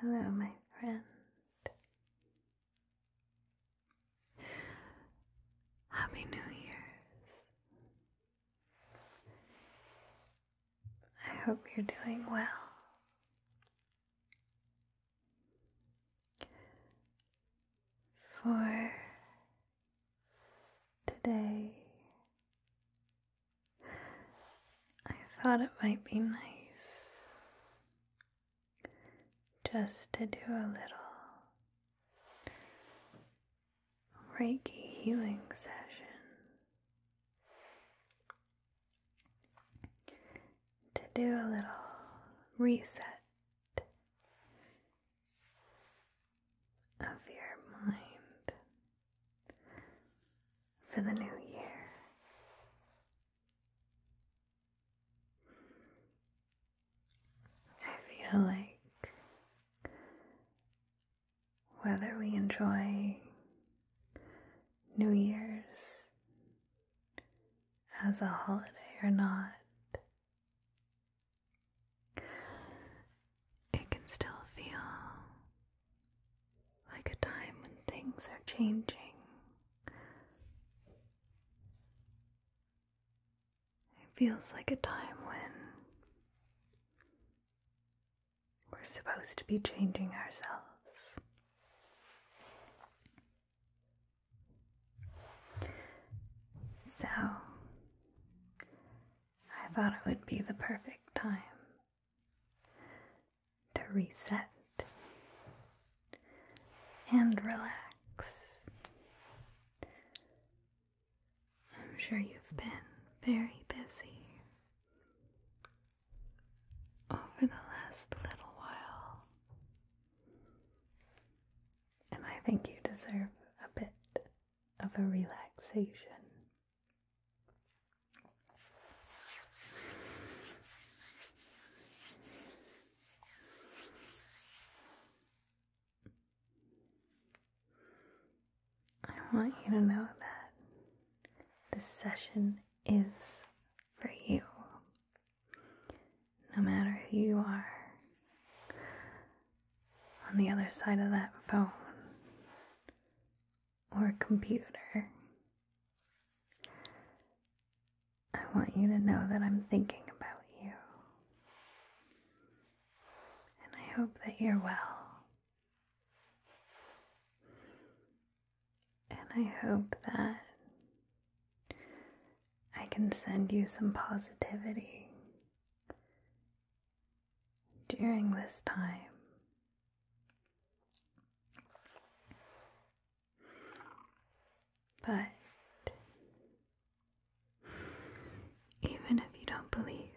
Hello, my friend. Happy New Year's. I hope you're doing well. For Today, I thought it might be nice just to do a little Reiki healing session. To do a little reset of your mind for the new year. I feel like whether we enjoy New Year's as a holiday or not, it can still feel like a time when things are changing. It feels like a time when we're supposed to be changing ourselves. So, I thought it would be the perfect time to reset and relax. I'm sure you've been very busy over the last little while, and I think you deserve a bit of a relaxation. I want you to know that this session is for you. No matter who you are, on the other side of that phone or computer. I want you to know that I'm thinking about you. And I hope that you're well. And I hope that I can send you some positivity during this time. But even if you don't believe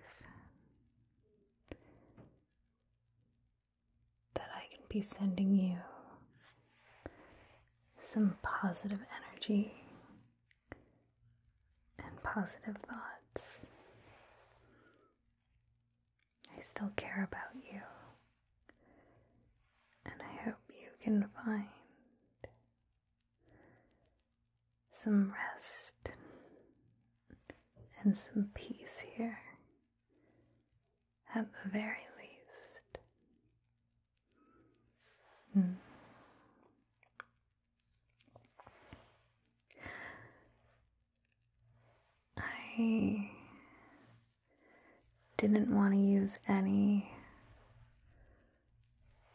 that I can be sending you some positive energy and positive thoughts. I still care about you, and I hope you can find some rest and some peace here, at the very least. Hmm. I didn't want to use any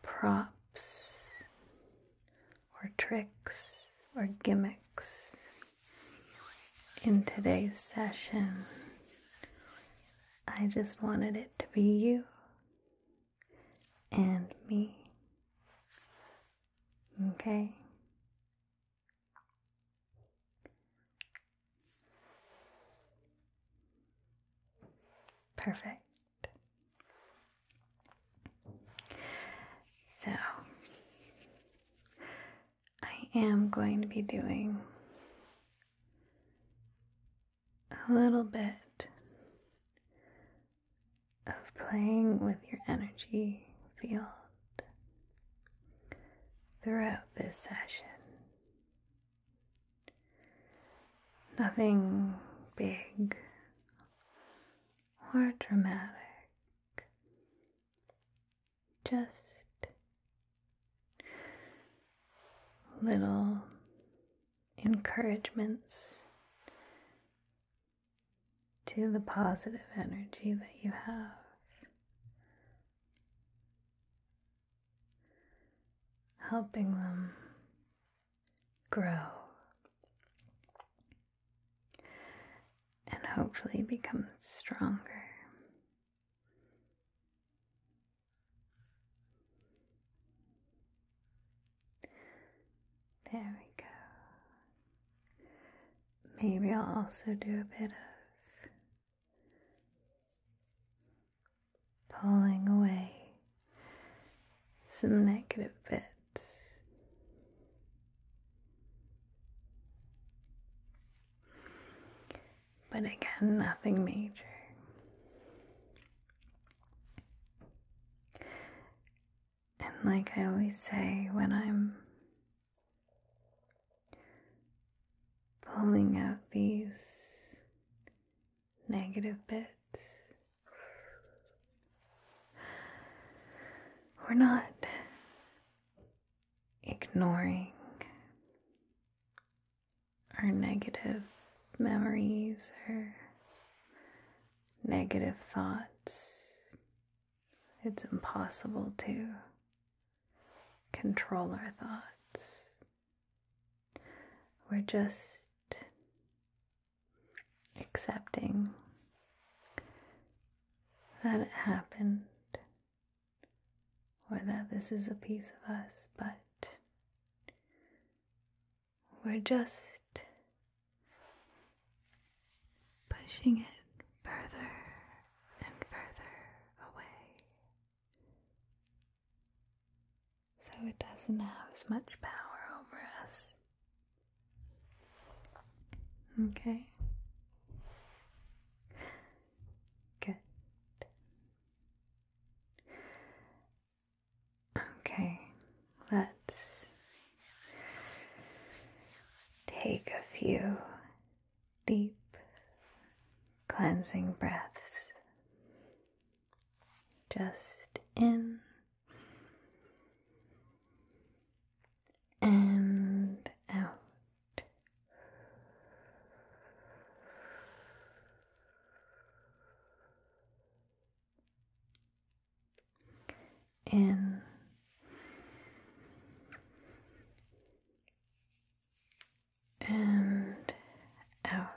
props or tricks or gimmicks in today's session. I just wanted it to be you and me. Okay. Perfect. So, I am going to be doing a little bit of playing with your energy field throughout this session. Nothing big or dramatic, just little encouragements to the positive energy that you have. Helping them grow and hopefully become stronger. There we go. Maybe I'll also do a bit of pulling away some negative bits. But again, nothing major. And like I always say, when I'm pulling out these negative bits, we're not ignoring our negative memories or negative thoughts, it's impossible to control our thoughts. We're just accepting that it happened or that this is a piece of us, but we're just pushing it further and further away so it doesn't have as much power over us. Okay. Good. Okay, let's take a few deep cleansing breaths. Just in and out in and out.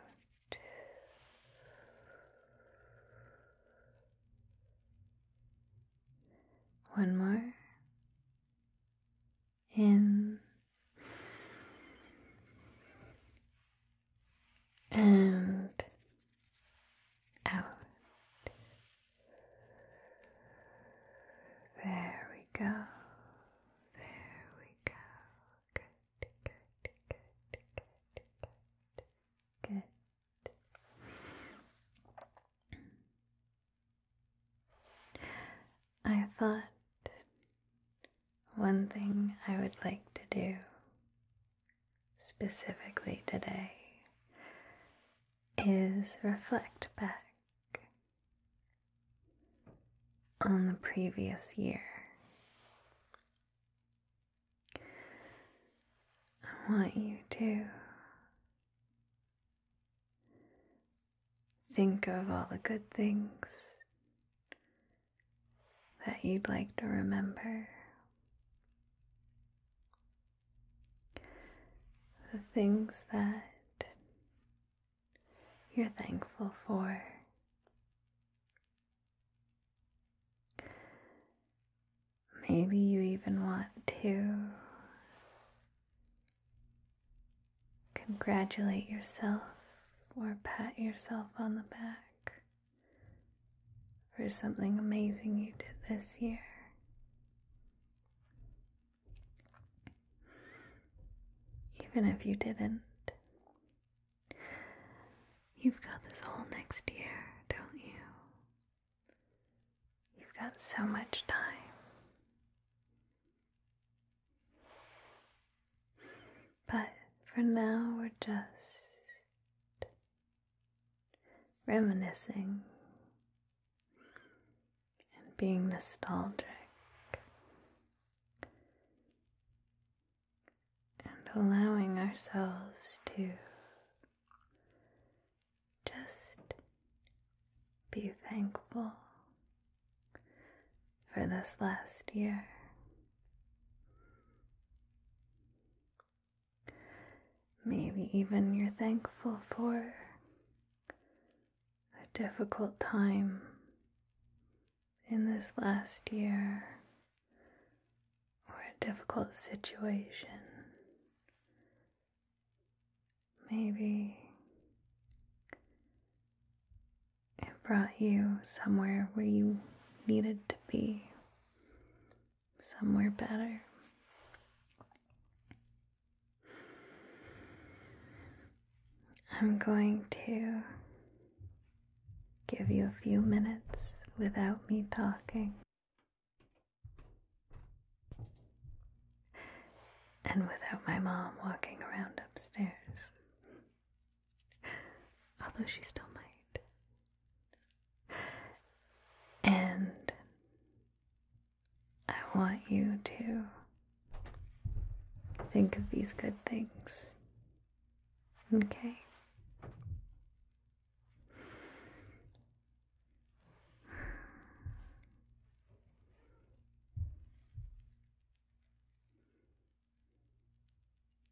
One more. In and out. There we go. There we go. Good, good, good, good, good. I thought one thing I would like to do specifically today, is reflect back on the previous year. I want you to think of all the good things that you'd like to remember the things that you're thankful for. Maybe you even want to congratulate yourself or pat yourself on the back for something amazing you did this year. Even if you didn't, you've got this whole next year, don't you? You've got so much time. But for now, we're just reminiscing and being nostalgic and allowing ourselves to just be thankful for this last year. Maybe even you're thankful for a difficult time in this last year or a difficult situation. Maybe it brought you somewhere where you needed to be somewhere better. I'm going to give you a few minutes without me talking. And without my mom walking around upstairs. Although she still might. And I want you to think of these good things. Okay?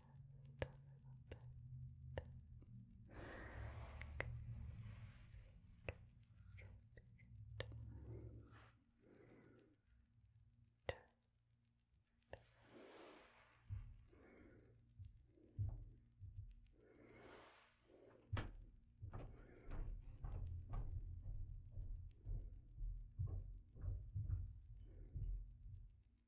Just a little bit. Good. Good. Good. Turn. Good.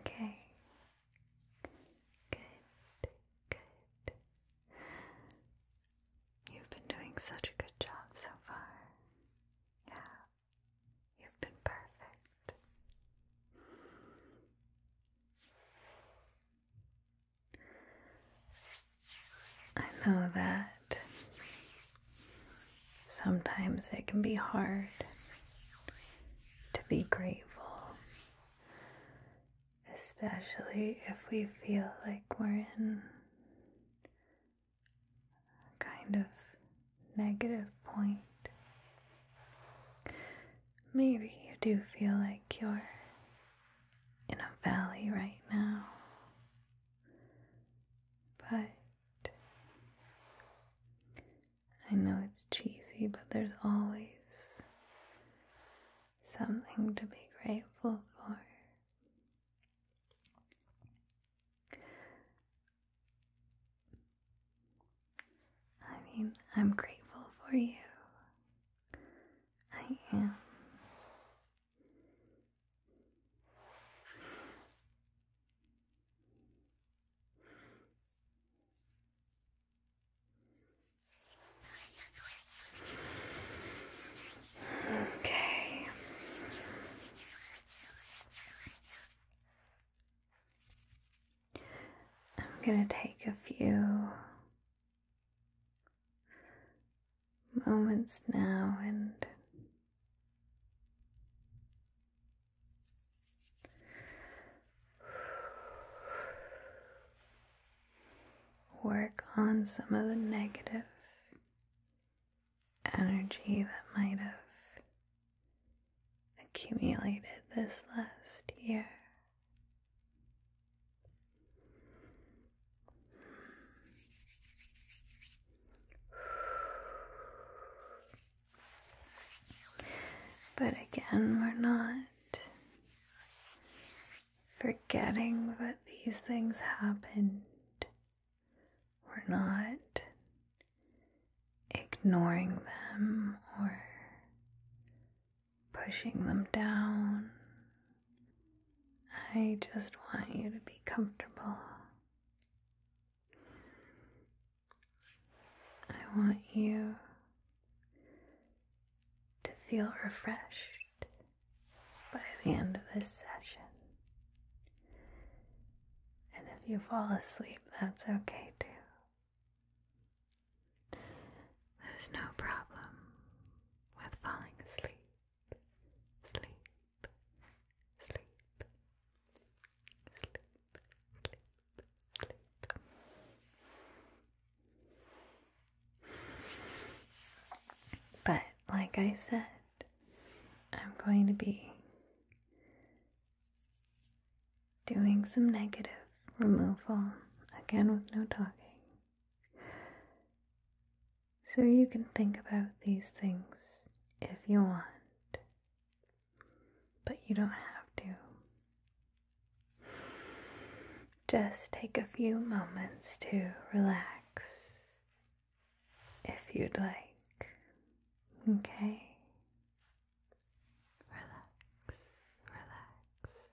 Okay. Good, good. You've been doing such a good job so far. Yeah, you've been perfect. I know that Sometimes it can be hard to be grateful, especially if we feel like we're in a kind of negative point. Maybe you do feel like you're in a valley right now, but I know it's cheesy, but there's always something to be grateful for. I mean, I'm grateful for you. I am. Okay. I'm going to take a few moments now and Work on some of the negative energy that might have accumulated this last year. But again, we're not forgetting that these things happened. We're not ignoring them or pushing them down. I just want you to be comfortable. I want you to feel refreshed by the end of this session. And if you fall asleep, that's okay too. There's no problem with falling asleep. Sleep, sleep, sleep. But, like I said, I'm going to be doing some negative removal again with no talking. So you can think about these things if you want but you don't have to. Just take a few moments to relax if you'd like. Okay? Relax, relax, relax.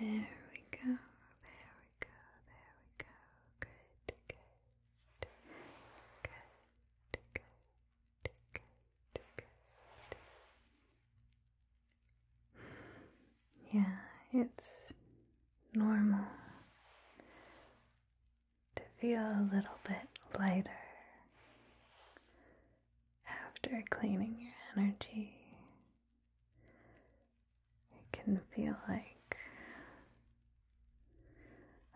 There we go, there we go, there we go. Good, good, good, good, good, good. Yeah, it's normal to feel a little bit lighter after cleaning your energy. It can feel like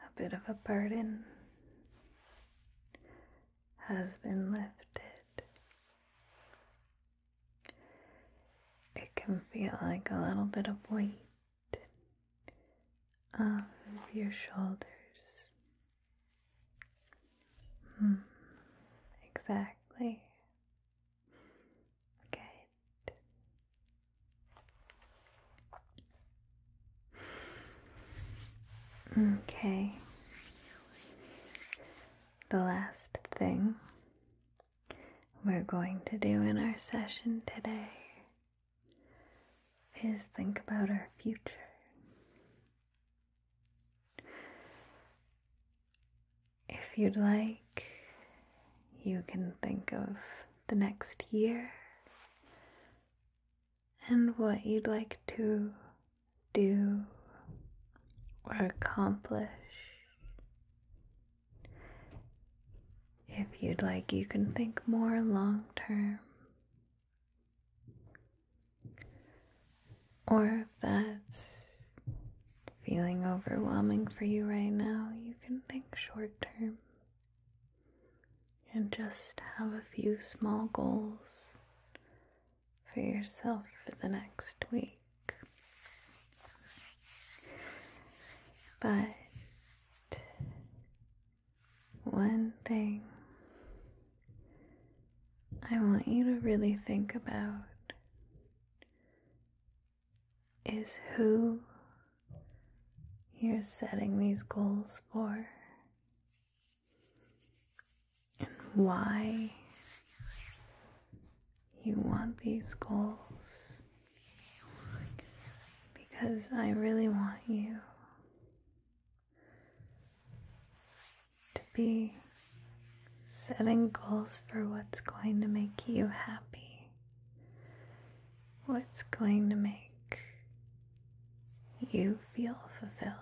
a bit of a burden has been lifted. It can feel like a little bit of weight off your shoulders. Hmm, exactly. Good. Okay. The last thing we're going to do in our session today is think about our future. If you'd like, you can think of the next year and what you'd like to do or accomplish if you'd like, you can think more long term. Or if that's feeling overwhelming for you right now, you can think short term and just have a few small goals for yourself for the next week. But one thing I want you to really think about is who you're setting these goals for and why you want these goals because I really want you to be setting goals for what's going to make you happy, what's going to make you feel fulfilled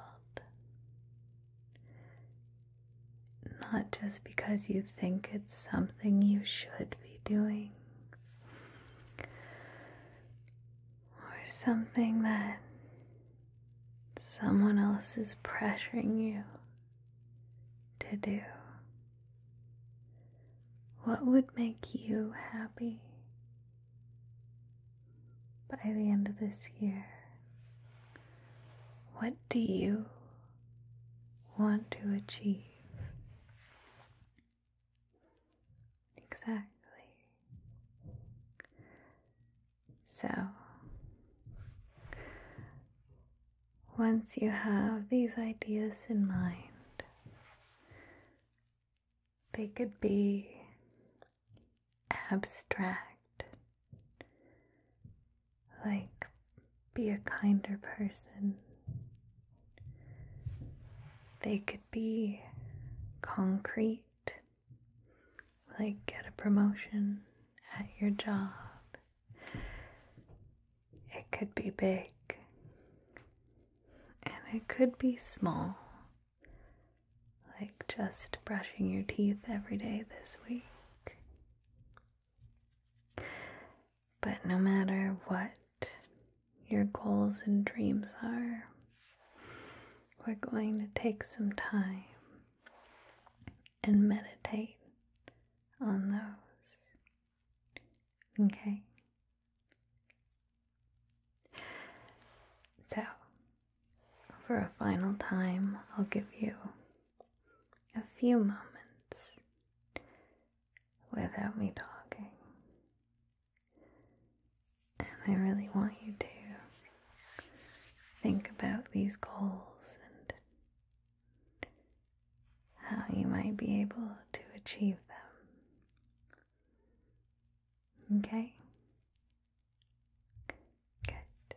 not just because you think it's something you should be doing or something that someone else is pressuring you to do. What would make you happy by the end of this year? What do you want to achieve? Exactly. So, once you have these ideas in mind, they could be abstract like be a kinder person. They could be concrete, like get a promotion at your job. It could be big, and it could be small, like just brushing your teeth every day this week. But no matter what your goals and dreams are, we're going to take some time and meditate on those. Okay? So, for a final time, I'll give you a few moments without me talking. And I really want you to think about these goals and how you might be able to achieve them. Okay? Good.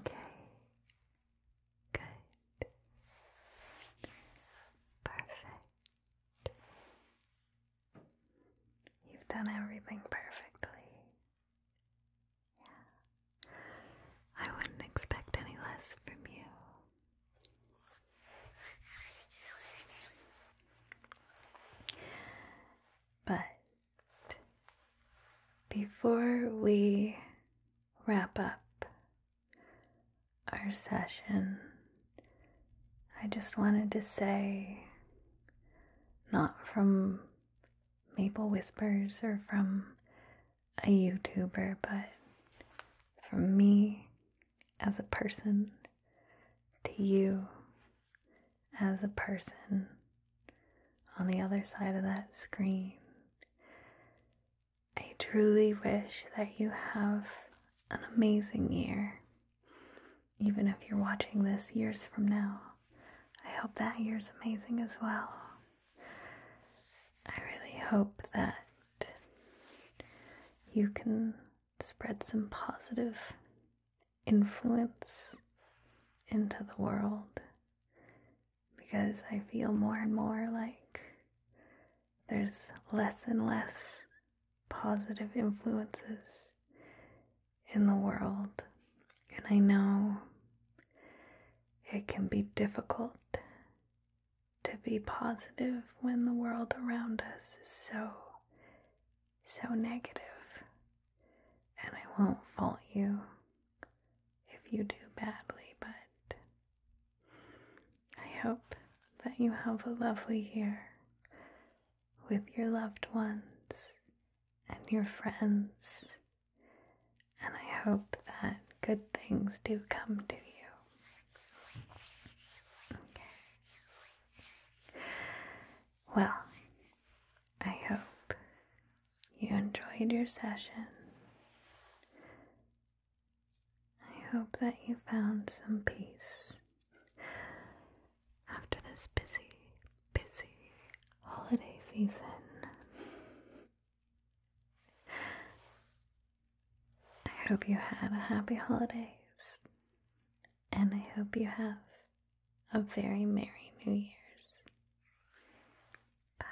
Okay. Good. Perfect. You've done everything perfectly. Yeah. I wouldn't expect any less from you. But before we wrap up our session, I just wanted to say, not from Maple Whispers or from a YouTuber, but from me as a person to you as a person on the other side of that screen. I truly wish that you have an amazing year. Even if you're watching this years from now, I hope that year's amazing as well. I really hope that you can spread some positive influence into the world because I feel more and more like there's less and less positive influences in the world. And I know it can be difficult to be positive when the world around us is so, so And I won't fault you if you do badly, but I hope that you have a lovely year with your loved ones and your friends, and I hope that good things do come to you. Okay. Well, I hope you enjoyed your session. I hope that you found some peace after this busy, busy holiday season. I hope you had a happy holidays, and I hope you have a very Merry New Year's. Bye.